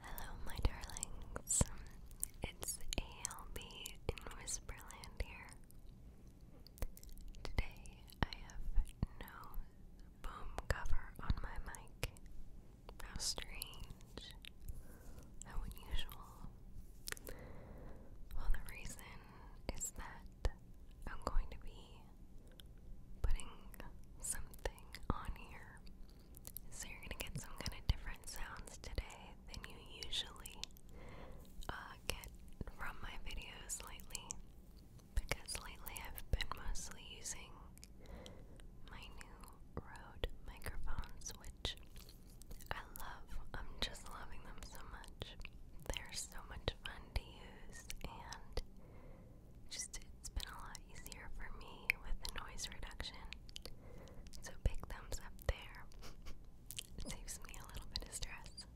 Hello, my darlings. It's ALB in Whisperland here. Today I have no boom cover on my mic. How strange. How unusual. Well, the reason is that I'm going to be putting something on here so you're gonna get some kind of different sounds today than you usually uh, get from my videos lately, because lately I've been mostly using my new Rode microphones, which I love. I'm just loving them so much. They're so much fun to use, and just it's been a lot easier for me with the noise reduction. So big thumbs up there. it saves me a little bit of stress.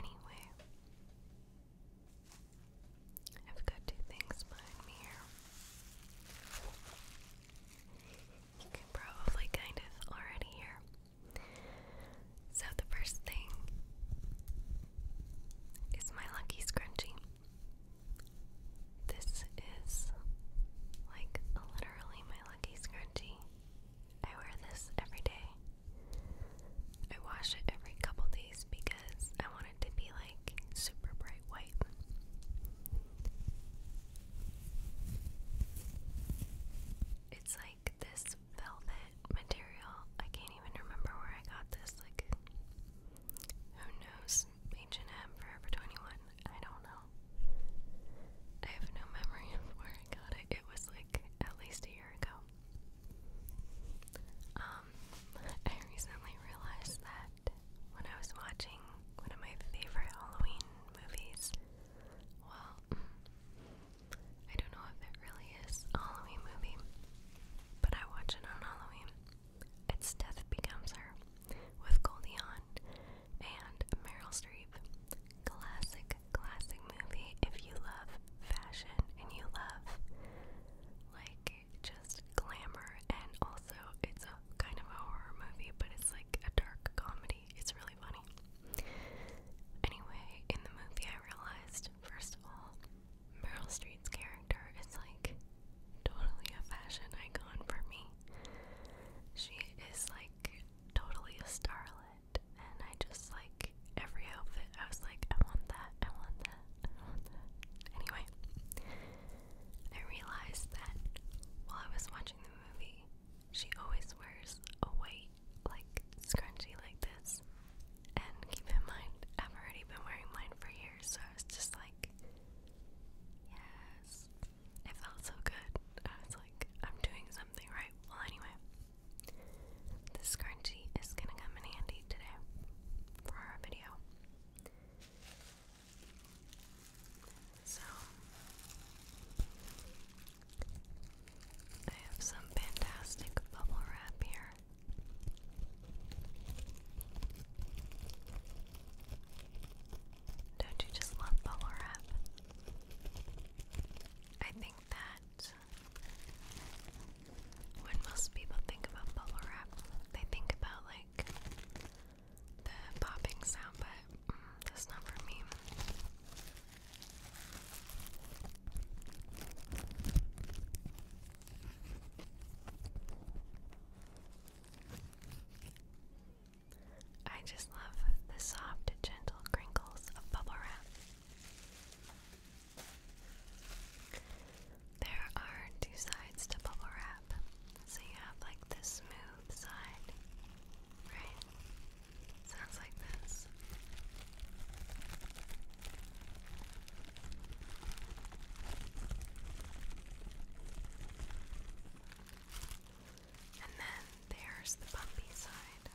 Anyway, I've got two things behind me here. You can probably kind of already hear. So, the first thing is my lucky scrunchie. This is like literally my lucky scrunchie. I wear this every day. I wash it every couple days because I want it to be like super bright white. It's like this velvet material. I can't even remember where I got this. Like, who knows? H&M Forever 21. I don't know. I have no memory of where I got it. It was like at least a year ago. Um, I recently realized that when I was watching one of my favorite Halloween movies, well, I don't know if it really is a Halloween movie, but I watch it on Halloween. Its death becomes her, with Goldie Hawn and Meryl Streep. Classic, classic movie if you love fashion and you love like just glamour and also it's a kind of a horror movie but it's like a dark comedy. It's really funny. Anyway, in the movie I realized, first of all, Meryl Streep's character is like totally a fashion icon for me. She is like totally a starlet, and I just like every outfit. I was like, I want that, I want that, I want that. Anyway, I realized that while I was watching the movie, she always wears a white, like, scrunchie like this. And keep in mind, I've already been wearing mine for years, so I was just like, yes. It felt so good. I was like, I'm doing something right. Well, anyway, this scrunchie is gonna come in handy today for our video. So, I have some fantastic bubble wrap here. Don't you just love bubble wrap? I think that when most people think about bubble wrap, they think about like the popping sound, but mm, that's not for me. I just love the soft, gentle crinkles of bubble wrap. There are two sides to bubble wrap. So you have like the smooth side, right? Sounds like this. And then there's the bumpy side.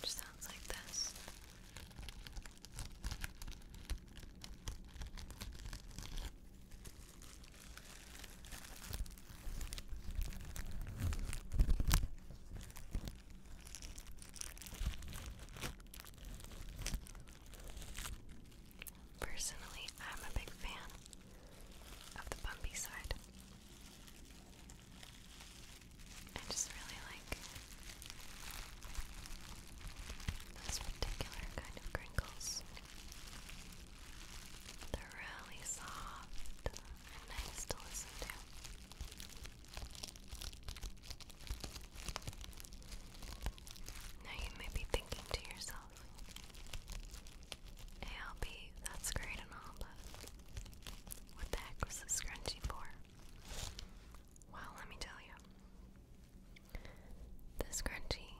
Which sounds like this. Personally, I'm a big fan of the bumpy side. I just really like this particular kind of crinkles. They're really soft nice to listen to. Now you may be thinking to yourself, ALB, that's great and all, but what the heck was this scrunchie for? Well, let me tell you. This scrunchie,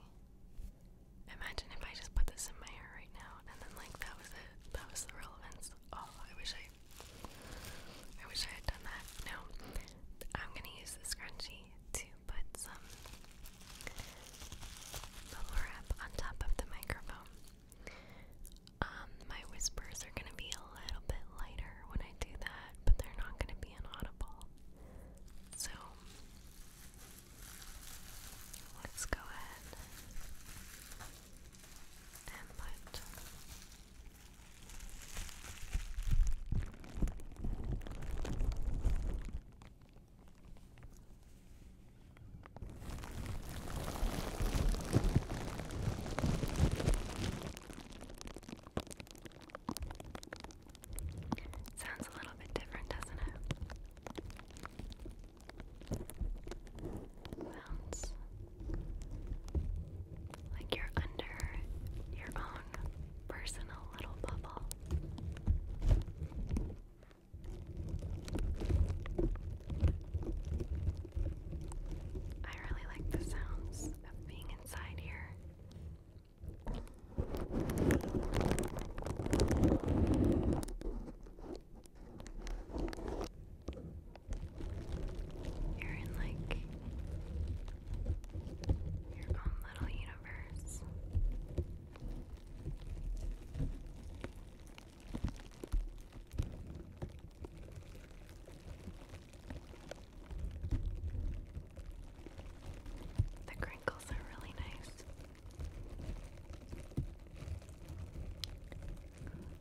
imagine if I just put this in my hair right now and then, like, that was it. That was the relevance. Oh, I wish I I wish I had done that. No. I'm gonna use the scrunchie to put some bubble wrap on top of the microphone. Um, my whispers are gonna be a little bit lighter when I do that, but they're not gonna be inaudible. So let's go ahead and put Sounds a little bit different, doesn't it? sounds like you're under your own personal little bubble. I really like the sounds of being inside here. You're in like your own little universe. The crinkles are really nice.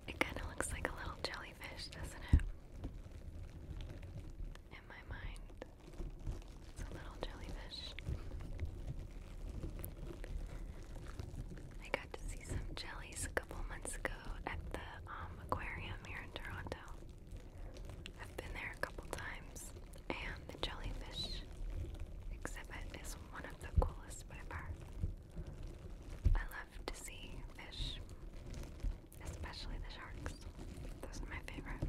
It kind of looks like a little jelly jellyfish, doesn't it? In my mind, it's a little jellyfish. I got to see some jellies a couple months ago at the um, aquarium here in Toronto. I've been there a couple times, and the jellyfish exhibit is one of the coolest by far. I love to see fish, especially the sharks. Those are my favorite.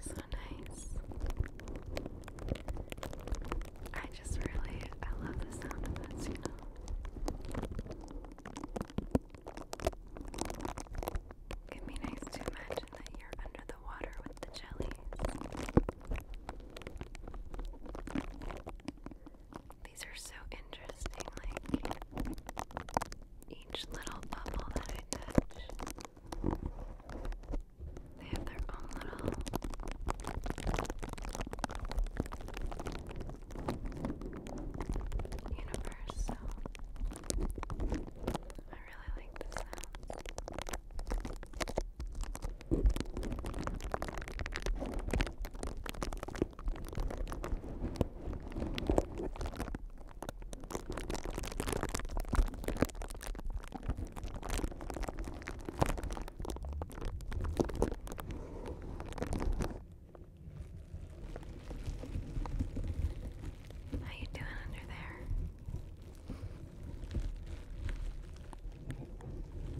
So nice. I just really, I love the sound of this, you know. It can be nice to imagine that you're under the water with the jellies. These are so interesting, like each little bubble that I touch. They have their own little universe, so I really like the sound. How you doing under there?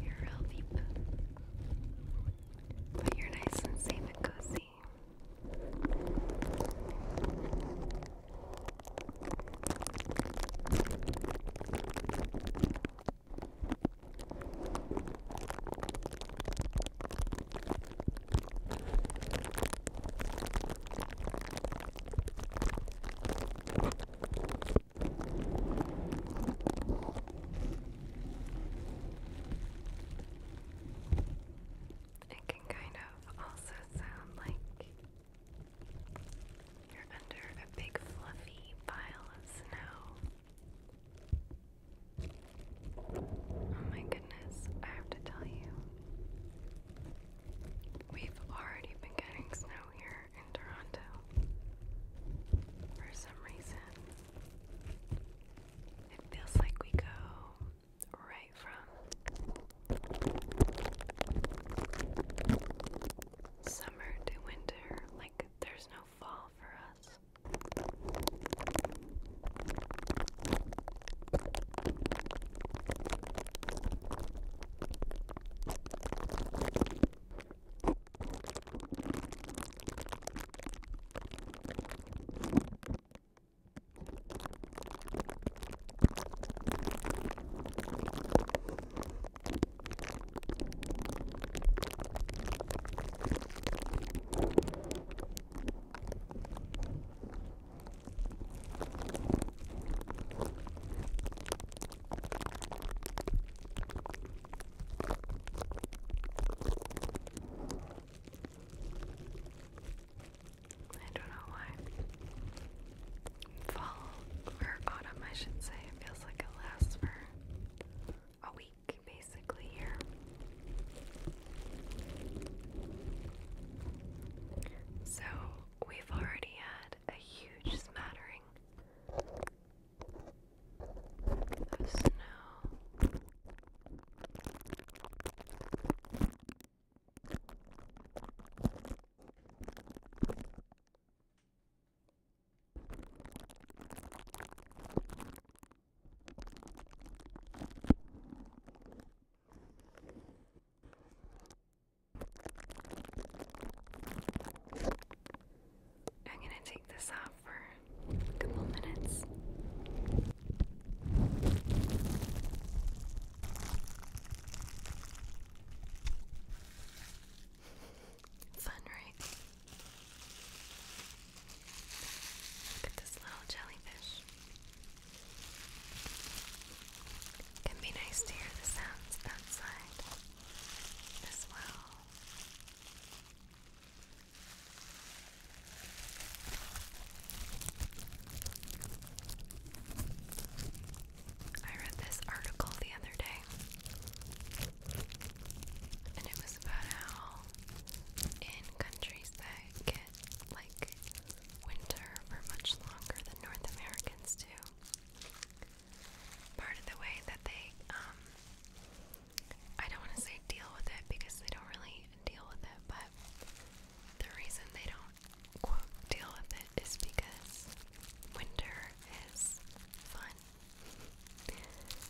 You're real deep. But you're nice and safe and cozy. It can kind of also sound like you're under a big fluffy pile of snow. Oh my goodness, I have to tell you. We've already been getting snow here in Toronto for some reason. It feels like we go right from summer to winter, like there's no fall for us. I don't know why. Fall or autumn, I should say, it feels like it lasts for a week basically here. So we've already had a huge smattering of snow. I'm going to take this off for a couple minutes. Fun, right? Look at this little jellyfish. can be nice to hear the sounds outside as well. I read this article the other day and it was about how in countries that get like winter for much longer than North Americans do, part of the way that they, um, I don't want to say deal with it because they don't really deal with it, but the reason they don't quote deal with it is because winter is fun.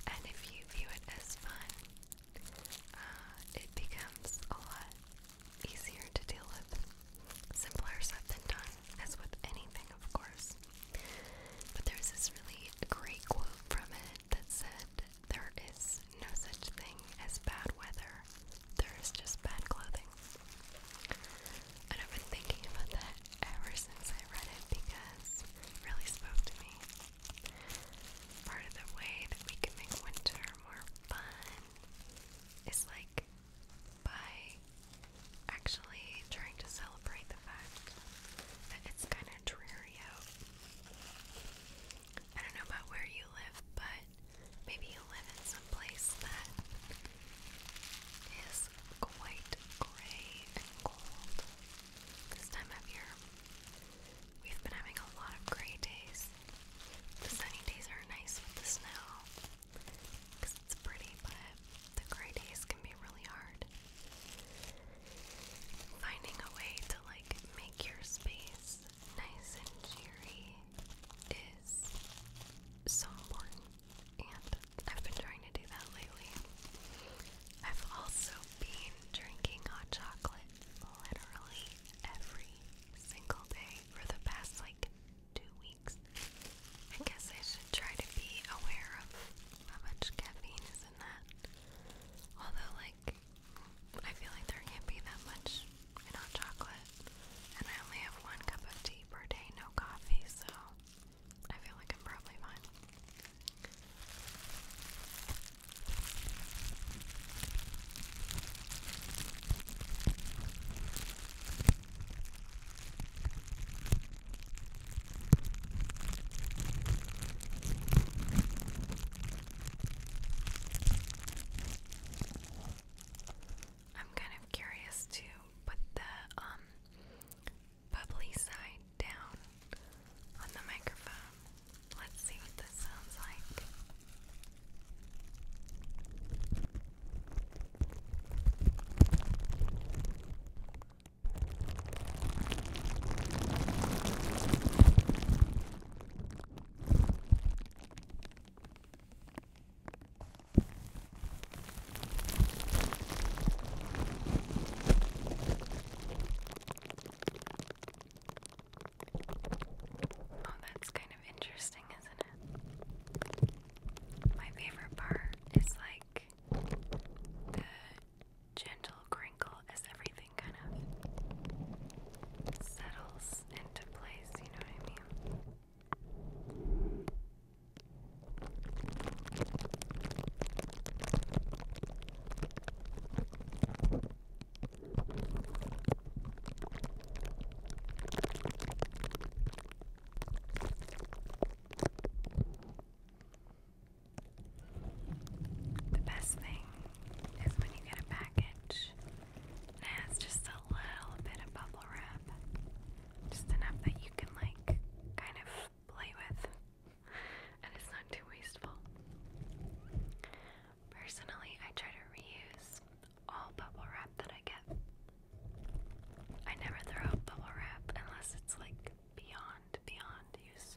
And if you view it as fun, uh, it becomes a lot easier to deal with. Simpler said than done, as with anything, of course. But there's this really great quote from it that said, There is no such thing as bad weather, there is just bad clothing. I've been thinking about that ever since I read it because it really spoke to me. Part of the way that we can make winter more fun is like by actually trying to celebrate the fact that it's kind of dreary out. I don't know about where you live, but maybe you live in some place that is quite grey and cold this time of year. We've been having a lot of grey days. The sunny days are nice with the snow it's pretty, but the gray days can be really hard. Finding a way to like make your space nice and cheery is so important, I've been trying to do that lately. I've also been drinking hot chocolate literally every single day for the past like two weeks. I guess I should try to be aware of how much caffeine is in that. Although, like, I feel like there can't be that much in hot chocolate. And I only have one cup of tea per day, no coffee, so I feel like I'm probably fine. I'm kind of curious to put the um bubbly side down on the microphone. Let's see what this sounds like. Oh, that's kind of interesting, isn't it? My favorite part is like the gentle crinkle as everything kind of settles into place, you know what I mean? The best thing is when you get a package and has just a little bit of bubble wrap. Just enough that you can, like, kind of play with. And it's not too wasteful. Personally, I try to reuse all bubble wrap that I get. I never throw out bubble wrap unless it's like beyond, beyond use.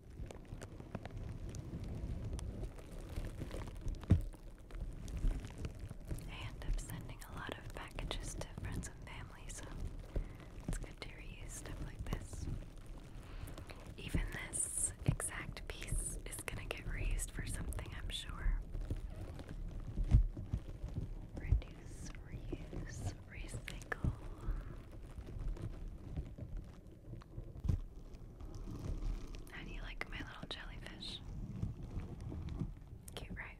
end up sending a lot of packages to friends and family, so it's good to reuse stuff like this. Even this exact piece is gonna get reused for something, I'm sure. Reduce, reuse, recycle. How do you like my little jellyfish? Cute, right?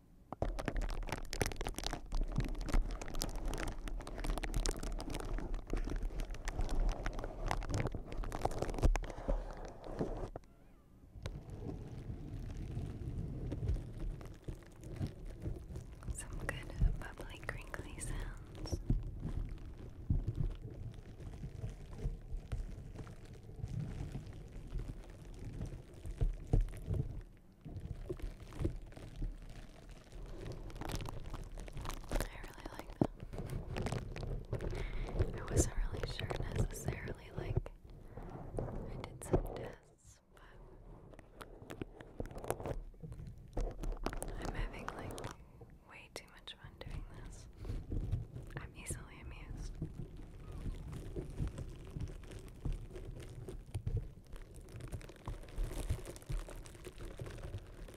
Some good bubbly crinkly sounds. I really like them. I wasn't really sure necessarily, like, I did some tests, but I'm having, like, way too much fun doing this easily amused.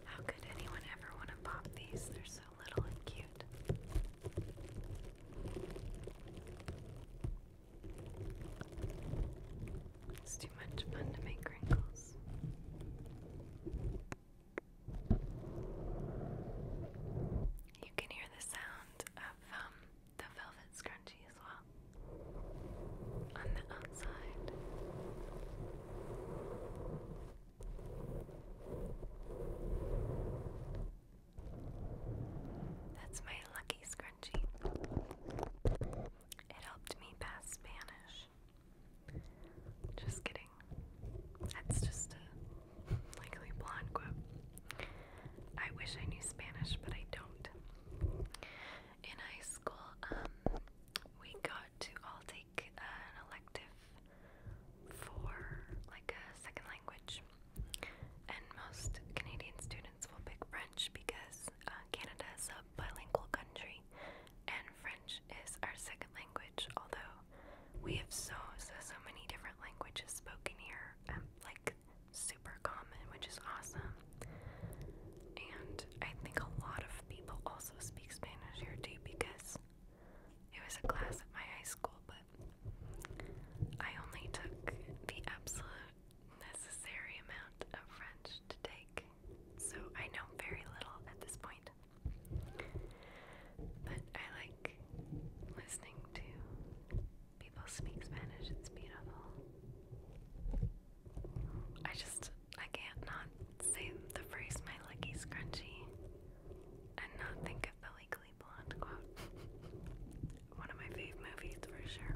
How could anyone ever want to pop these? They're so little and cute. It's too much fun to make wrinkles. You can hear the sound of um, the velvet scrunchie as well on the outside. That's my lucky scrunchie. It helped me pass Spanish. Just kidding. That's just likely Blanqua. I wish I knew Spanish, but I don't. In high school, um, we got to all take an elective for like a second language, and most Canadian students will pick French because uh, Canada is a bilingual country, and French is our second language. Although we have so so so many different languages spoken here, um, like super common, which is awesome. And I think a lot of people also speak Spanish here too because it was a class at my high school, but I only took the absolute necessary amount of French to take. So I know very little at this point. But I like listening to people speak Spanish. It's beautiful. I just I can't not say the phrase "my lucky scrunchie" and not think of the Legally Blonde quote. One of my fave movies for sure.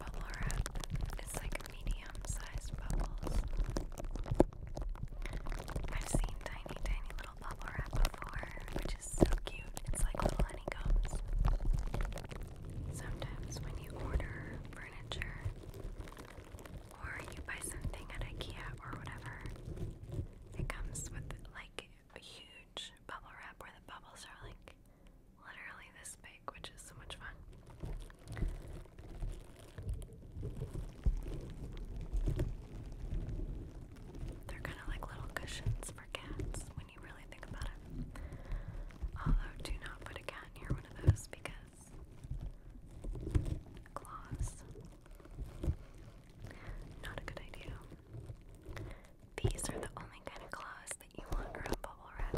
Bubble wrap is like medium sized bubbles. I've seen tiny, tiny little bubble wrap before, which is so cute. It's like little honeycombs. Sometimes when you order furniture or you buy something at IKEA or whatever, it comes with like a huge bubble wrap where the bubbles are like literally this big, which is so much fun. They're kind of like little cushions for cats when you really think about it. Although, do not put a cat near one of those because claws. Not a good idea. These are the only kind of claws that you want around bubble wrap.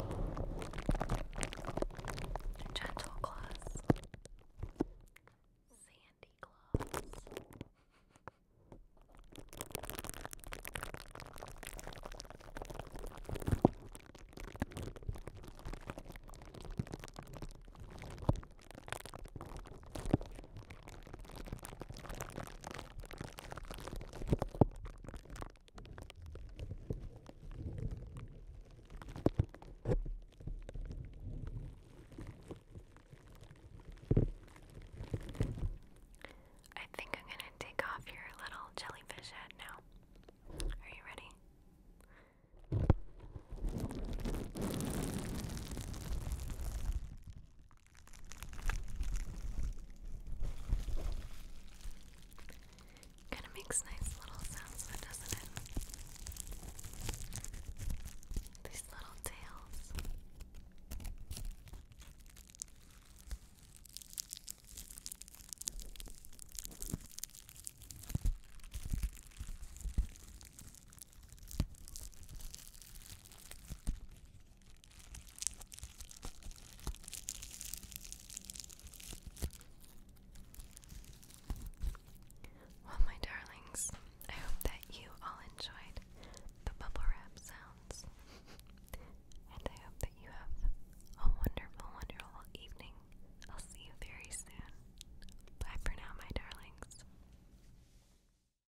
Gentle claws. Sandy claws. I think I'm going to take off your little jellyfish head now. Are you ready? Kind of makes nice little sounds, but doesn't it? These little tails. All well, my darlings, I hope that you all enjoyed the bubble wrap sounds. and I hope that you have a wonderful, wonderful evening. I'll see you very soon. Bye for now, my darlings.